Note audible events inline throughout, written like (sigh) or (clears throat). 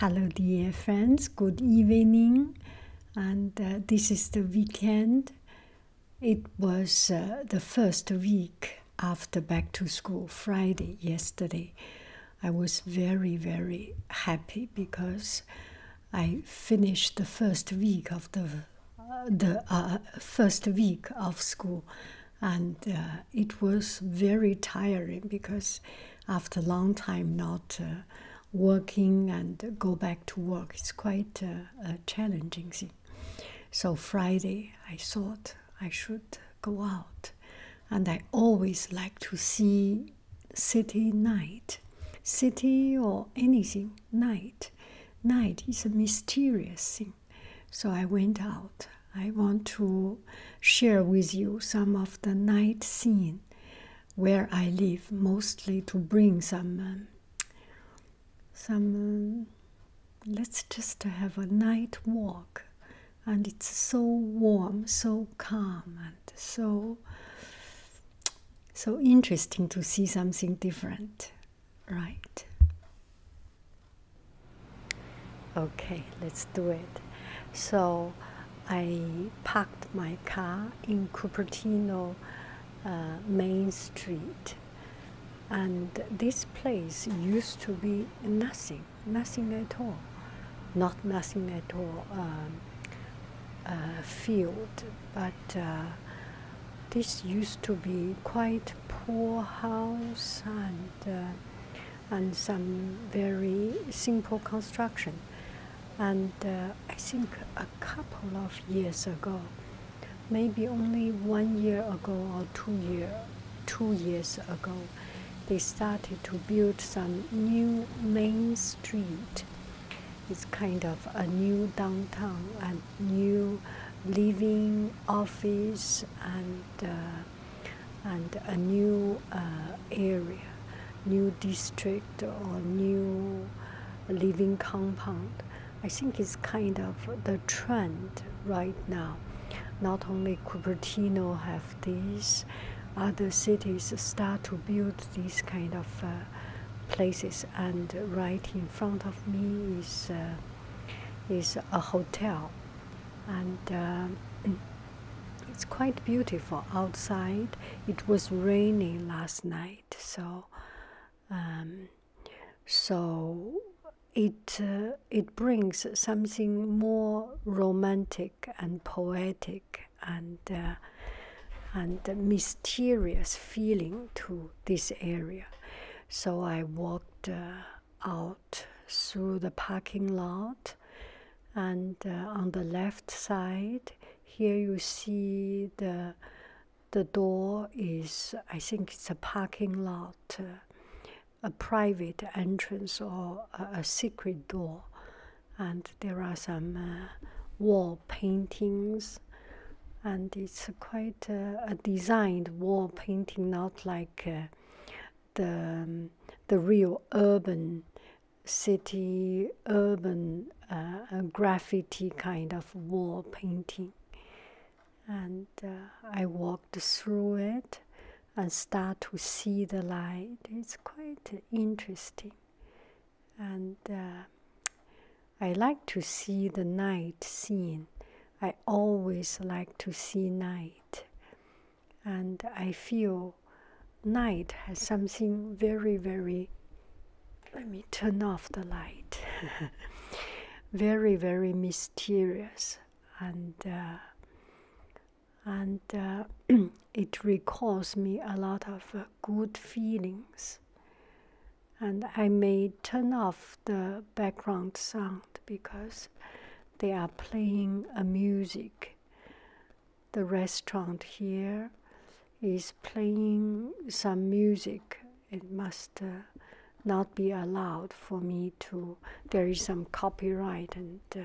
Hello, dear friends. Good evening. And uh, this is the weekend. It was uh, the first week after back to school, Friday, yesterday. I was very, very happy because I finished the first week of the the uh, first week of school, and it was very tiring because after a long time not uh, working and go back to work. It's quite a challenging thing. So Friday, I thought I should go out, and I always like to see city night, city or anything night. Night is a mysterious thing. So I went out I want to share with you some of the night scene where I live, mostly to bring some, um, some. Um, let's just have a night walk, and it's so warm, so calm, and so so interesting to see something different, right? Okay, let's do it. So I parked my car in Cupertino uh, Main Street. And this place used to be nothing, nothing at all, not nothing at all um, uh, field, but uh, this used to be quite poor house and and some very simple construction. And uh, I think a couple of years ago, maybe only one year ago or two year, two years ago, they started to build some new main street. It's kind of a new downtown, a new living office and. Uh, and a new uh, area, new district, or new living compound. I think it's kind of the trend right now. Not only Cupertino have these, other cities start to build these kind of uh, places. And right in front of me is uh, is a hotel and um, (clears throat) it's quite beautiful outside. It was raining last night, so um, so it uh, it brings something more romantic and poetic and uh, and mysterious feeling to this area. So I walked. Uh, out through the parking lot and uh, on the left side here you see the the door is i think it's a parking lot uh, a private entrance or a, secret door and there are some uh, wall paintings and it's quite a designed wall painting not like the, um, the real urban city, urban uh, graffiti kind of wall painting. And uh, I walked through it and start to see the light. It's quite interesting. And uh, I like to see the night scene. I always like to see night and I feel night has something very, very. Let me turn off the light. (laughs) very, very mysterious, and uh, and uh, (clears throat) it recalls me a lot of uh, good feelings. And I may turn off the background sound because they are playing a music the restaurant here is playing some music. It must uh, not be allowed for me to. There is some copyright and uh,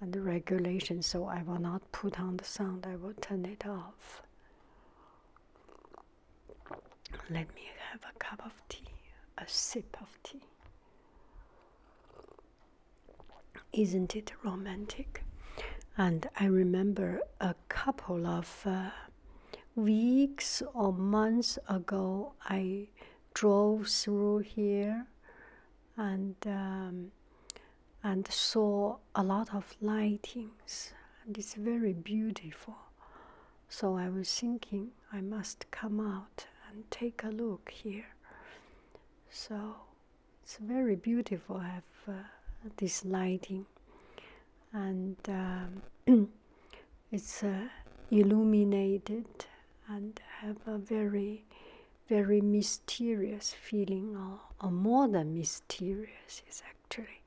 and regulation, so I will not put on the sound. I will turn it off. Let me have a cup of tea, a sip of tea. Isn't it romantic? And I remember a couple of uh, weeks or months ago, I drove through here and um, and saw a lot of lightings, and it's very beautiful. So I was thinking, I must come out and take a look here. So it's very beautiful. I have uh, this lighting, and um, (clears throat) it's uh, illuminated and have a very, very mysterious feeling, or, more than mysterious. It's actually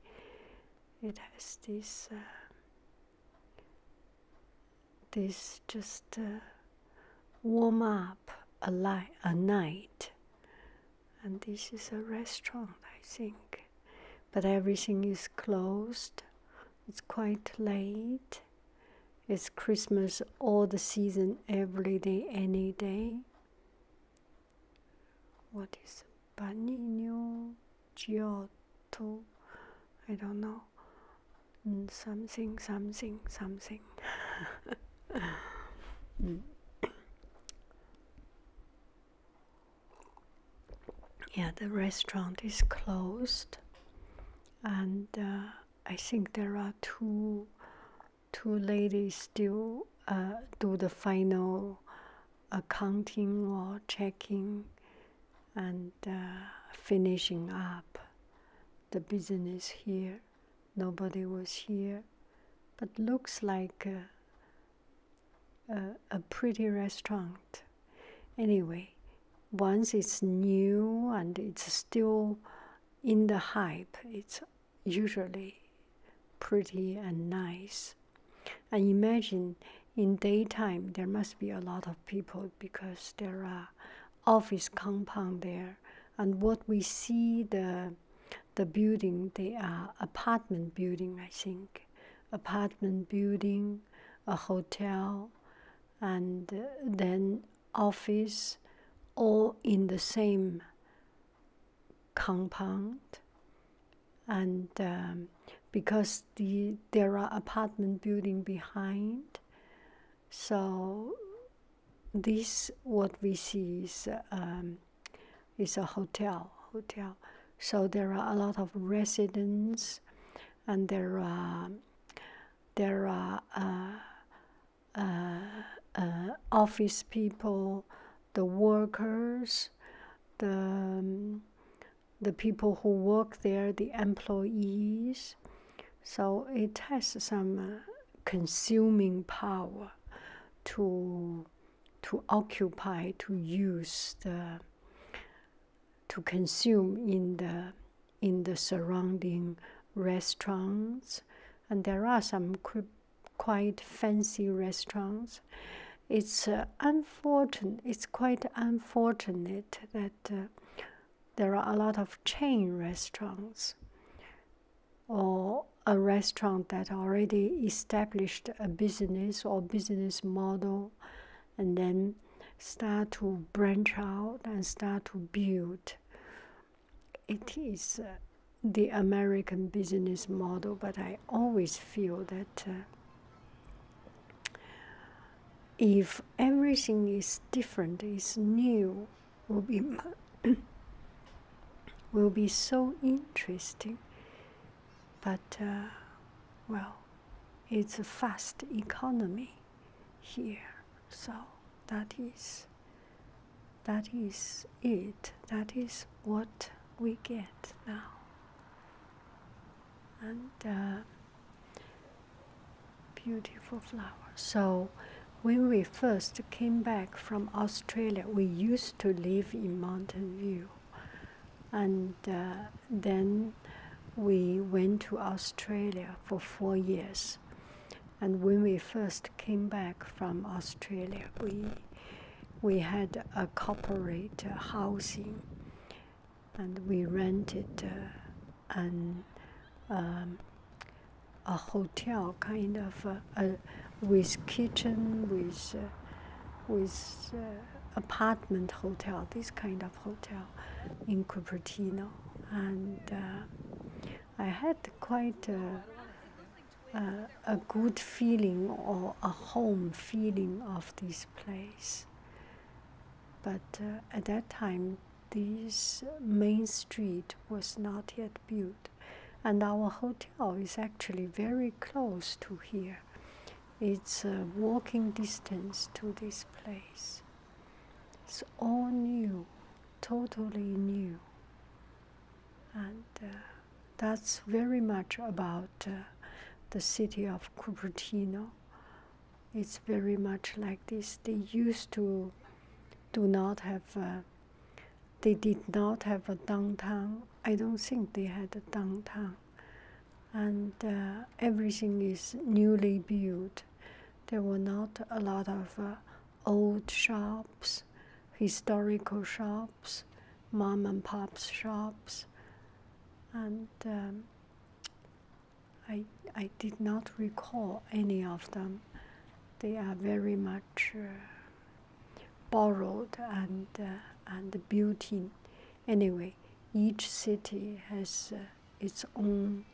it has this. Uh, this just uh, warm up a, a night and this is a restaurant i think but everything is closed it's quite late it's christmas all the season every day any day what is Panino Giotto? I don't know. Mm, something something something mm. yeah the restaurant is closed and uh, I think there are two two ladies still uh, do the final accounting or checking and uh, finishing up the business here. Nobody was here, but looks like a, a pretty restaurant. Anyway, once it's new and it's still in the hype, it's usually pretty and nice. And imagine in daytime there must be a lot of people because there are office compound there, and what we see the the building they are apartment building I think, apartment building, a hotel, and uh, then office, all in the same compound, and um, because the there are apartment building behind so this what we see is um, is a hotel hotel. So there are a lot of residents, and there are there are uh, uh, uh, office people, the workers, the um, the people who work there, the employees. So it has some uh, consuming power to to occupy, to use the to consume in the in the surrounding restaurants, and there are some quite fancy restaurants. It's uh, unfortunate. It's quite unfortunate that. Uh, there are a lot of chain restaurants or a restaurant that already established a business or business model and then start to branch out and start to build it is uh, the american business model but i always feel that uh, if everything is different, is new, will be (clears throat) will be so interesting. But uh, well, it's a fast economy here, so that is that is it. That is what we get now, and. Uh, beautiful flower. So, when we first came back from Australia, we used to live in Mountain View, and uh, then we went to Australia for four years. And when we first came back from Australia, we we had a corporate housing and we rented uh, an um, a hotel kind of uh, a, with kitchen with uh, with apartment hotel this kind of hotel in Cupertino and I had quite a, a good feeling or a home feeling of this place but uh, at that time, this main street was not yet built, and our hotel is actually very close to here. It's a walking distance to this place. It's all new, totally new. And uh, that's very much about uh, the city of Cupertino it's very much like this. They used to do not have, a, they did not have a downtown. I don't think they had a downtown. And uh, everything is newly built. There were not a lot of uh, old shops, historical shops, mom and pop shops. And um, I, I did not recall any of them. They are very much uh, borrowed and, uh, and built in. Anyway, each city has uh, its own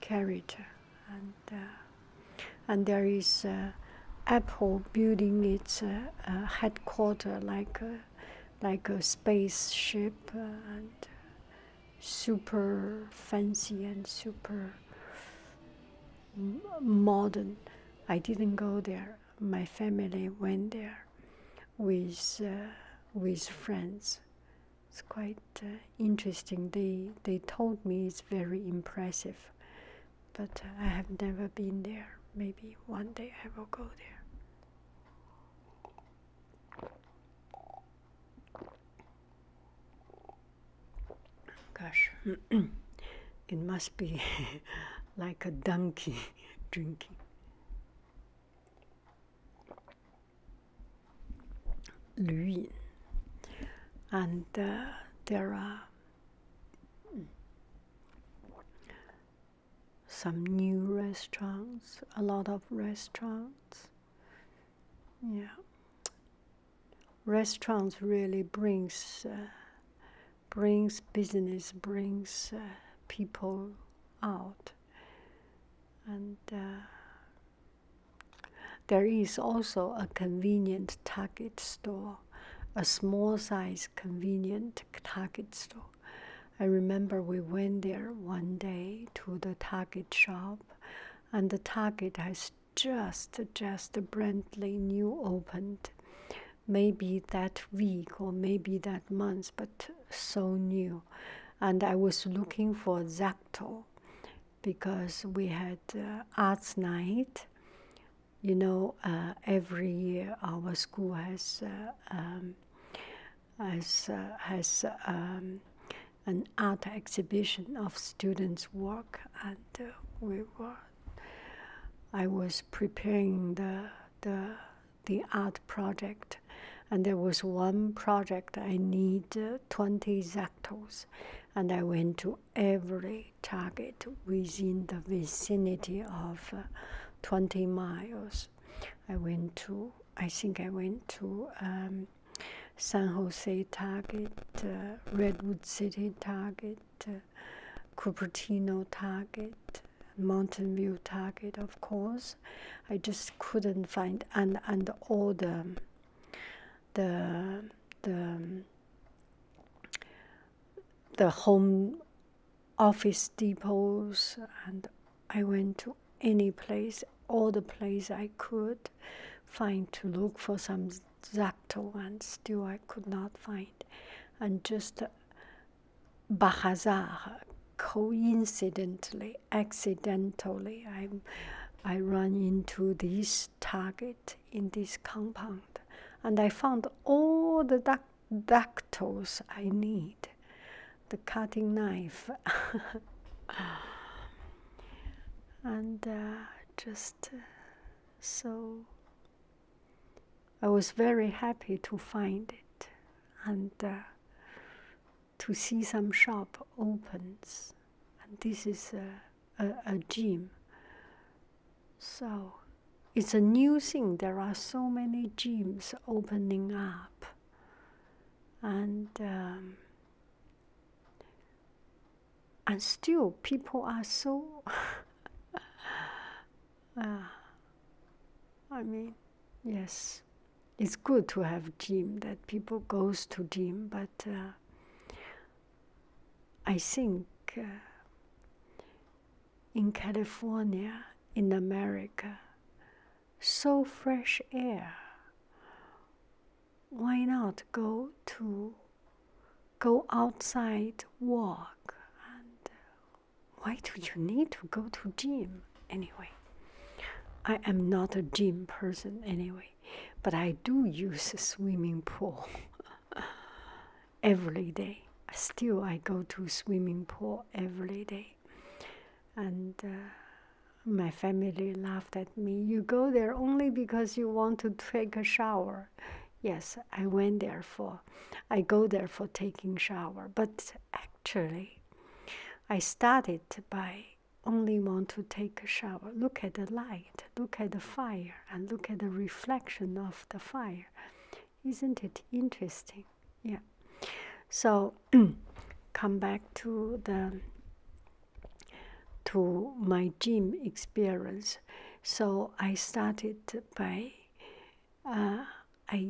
character, and, and there is Apple building its headquarters like, a, like a spaceship, and super fancy and super modern. I didn't go there. My family went there with uh, with friends. It's quite uh, interesting. They they told me it's very impressive, but uh, I have never been there. Maybe one day I will go there. Gosh, (clears throat) it must be (laughs) like a donkey (laughs) drinking. Luyin. And uh, there are hmm, some new restaurants, a lot of restaurants. Yeah, restaurants really brings uh, brings business, brings uh, people out, and uh, there is also a convenient Target store, a small size convenient Target store. I remember we went there one day to the Target shop, and the Target has just just brandly new opened, maybe that week or maybe that month, but so new. And I was looking for Zacto because we had uh, arts night. You know, uh, every year our school has uh, um, as, has uh, um, an art exhibition of students' work, and uh, we were. I was preparing the the the art project, and there was one project I need uh, twenty zactos, and I went to every target within the vicinity of twenty miles. I went to I think I went to um, San Jose Target, uh, Redwood City Target, uh, Cupertino Target, Mountain View Target, of course. I just couldn't find and and all the the the the home office depots and I went to any place, all the place I could find to look for some Zacto, and still I could not find. And just uh, coincidentally, accidentally, I I ran into this target in this compound, and I found all the ductals I need the cutting knife and uh, just uh, so I was very happy to find it and uh, to see some shop opens and this is a, a gym so it's a new thing there are so many gyms opening up and um, and still people are so (laughs) uh, I mean yes it's good to have gym that people goes to gym but uh, I think uh, in California in America so fresh air why not go to go outside walk and uh, why do you need to go to gym anyway i am not a gym person anyway but i do use a swimming pool (laughs) every day still i go to swimming pool every day and uh, my family laughed at me. You go there only because you want to take a shower. Yes, I went there for, I go there for taking shower. But actually, I started by only want to take a shower. Look at the light, look at the fire, and look at the reflection of the fire. Isn't it interesting? yeah so (clears throat) come back to the to my gym experience so i started by uh, i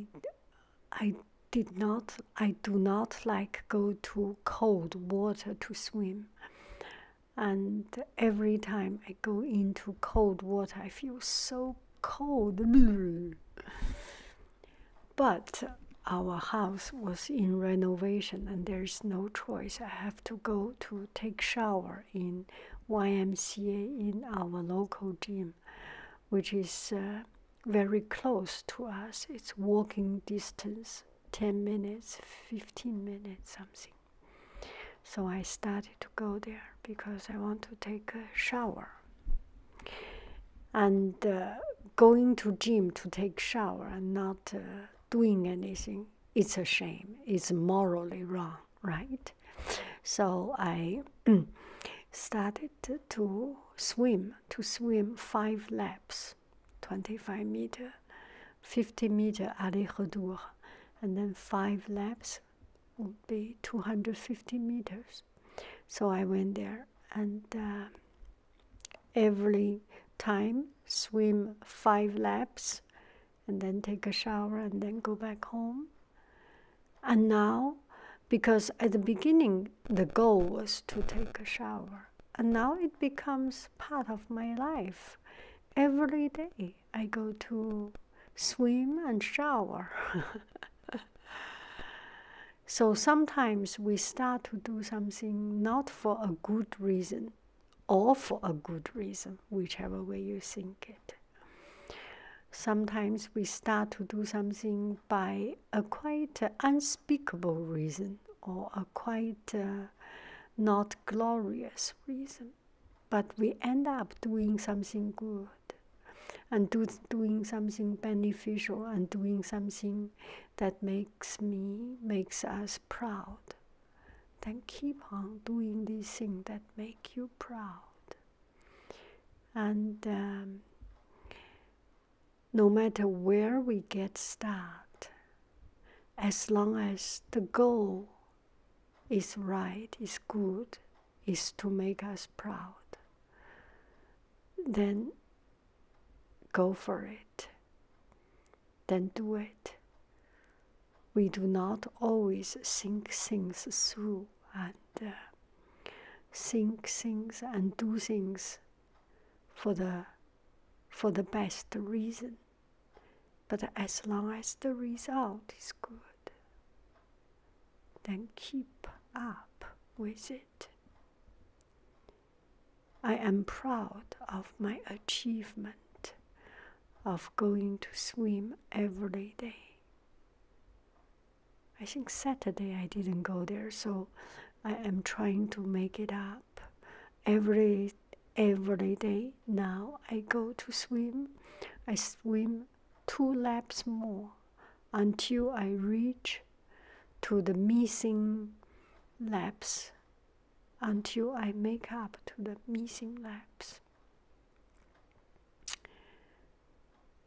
i did not i do not like go to cold water to swim and every time i go into cold water i feel so cold (laughs) But our house was in renovation, and there's no choice. I have to go to take shower in YMCA in our local gym, which is uh, very close to us. It's walking distance, ten minutes, fifteen minutes, something. So I started to go there because I want to take a shower and uh, going to gym to take shower and not uh, doing anything it's a shame it's morally wrong right so i (clears throat) started to swim to swim five laps 25 meter 50 meter aller-retour and then five laps would be 250 meters so i went there and uh, every time swim five laps and then take a shower and then go back home. And now, because at the beginning the goal was to take a shower, and now it becomes part of my life. Every day I go to swim and shower. (laughs) So sometimes we start to do something not for a good reason or for a good reason, whichever way you think it. Sometimes we start to do something by a quite uh, unspeakable reason or a quite uh, not glorious reason, but we end up doing something good and doing something beneficial and doing something that makes me makes us proud then keep on doing these things that make you proud and um, no matter where we get started as long as the goal is right is good is to make us proud, then go for it. Then do it. We do not always think things through and think uh, things and do things for the for the best reason. But as long as the result is good, then keep up with it. I am proud of my achievement of going to swim every day. I think Saturday I didn't go there, so I am trying to make it up every every day now I go to swim. I swim two laps more until I reach to the missing laps until I make up to the missing laps.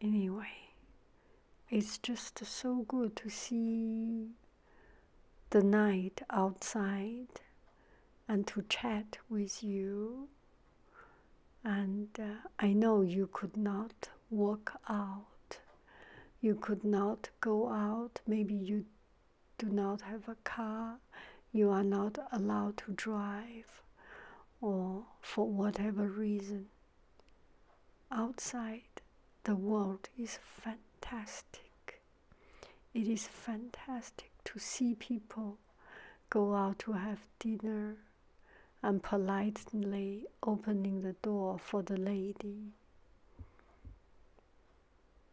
Anyway, it's just so good to see the night outside and to chat with you and uh, I know you could not walk out, you could not go out, maybe you do not have a car, you are not allowed to drive, or for whatever reason. Outside, the world is fantastic. It is fantastic to see people go out to have dinner and politely opening the door for the lady.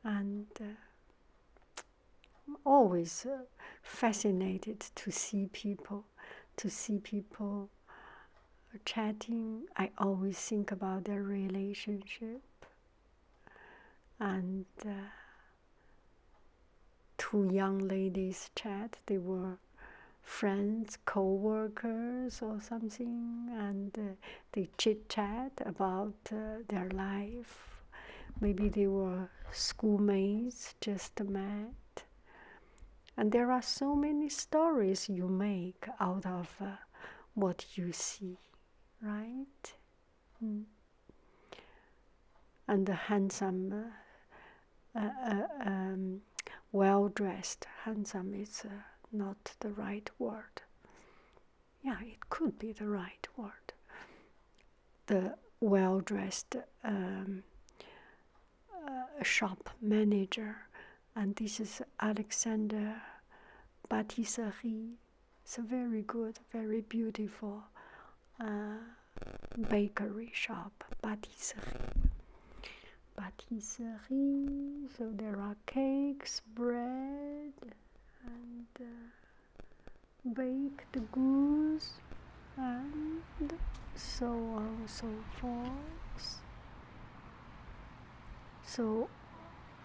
And uh, always uh, fascinated to see people, to see people chatting. I always think about their relationship and. Uh, two young ladies chat. They were friends, co-workers or something, and uh, they chit-chat about uh, their life. Maybe they were schoolmates, just met. And there are so many stories you make out of uh, what you see, right? Hmm. And the handsome um, well dressed. Handsome is uh, not the right word. Yeah, it could be the right word. The well dressed um, uh, shop manager, and this is Alexander Batisari. It's a very good, very beautiful. Uh, bakery shop, patisserie. Patisserie, so there are cakes, bread, and uh, baked goods, and so on so forth. So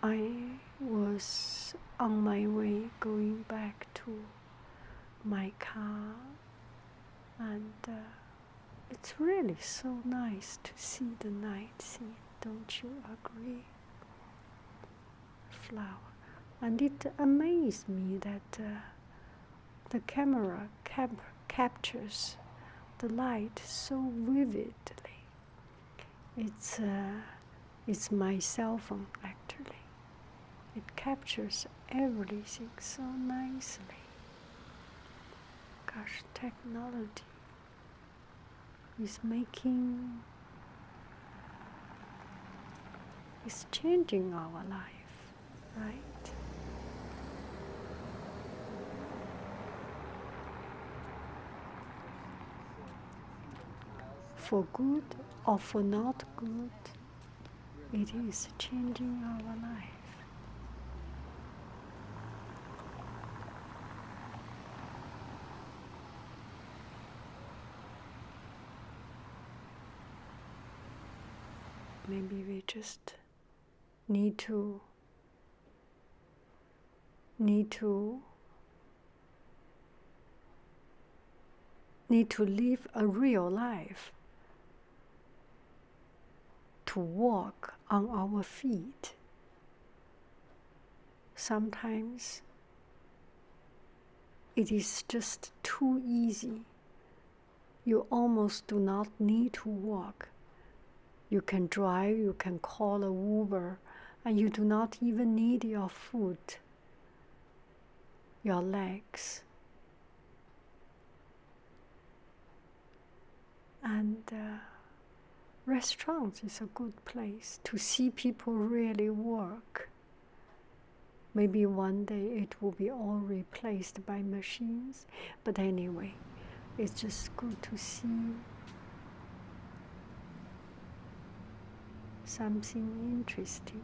I was on my way going back to my car and uh, it's really so nice to see the night scene, don't you agree? Flower. And it amazes me that uh, the camera captures the light so vividly. It's, uh, it's my cell phone actually. It captures everything so nicely. Gosh, technology is making, is changing our life, right? For good or for not good it is changing our life. Maybe we just need to need to need to live a real life to walk on our feet. Sometimes it is just too easy. You almost do not need to walk. You can drive, you can call a Uber, and you do not even need your foot, your legs. And uh, restaurants is a good place to see people really work. Maybe one day it will be all replaced by machines, but anyway, it's just good to see something interesting.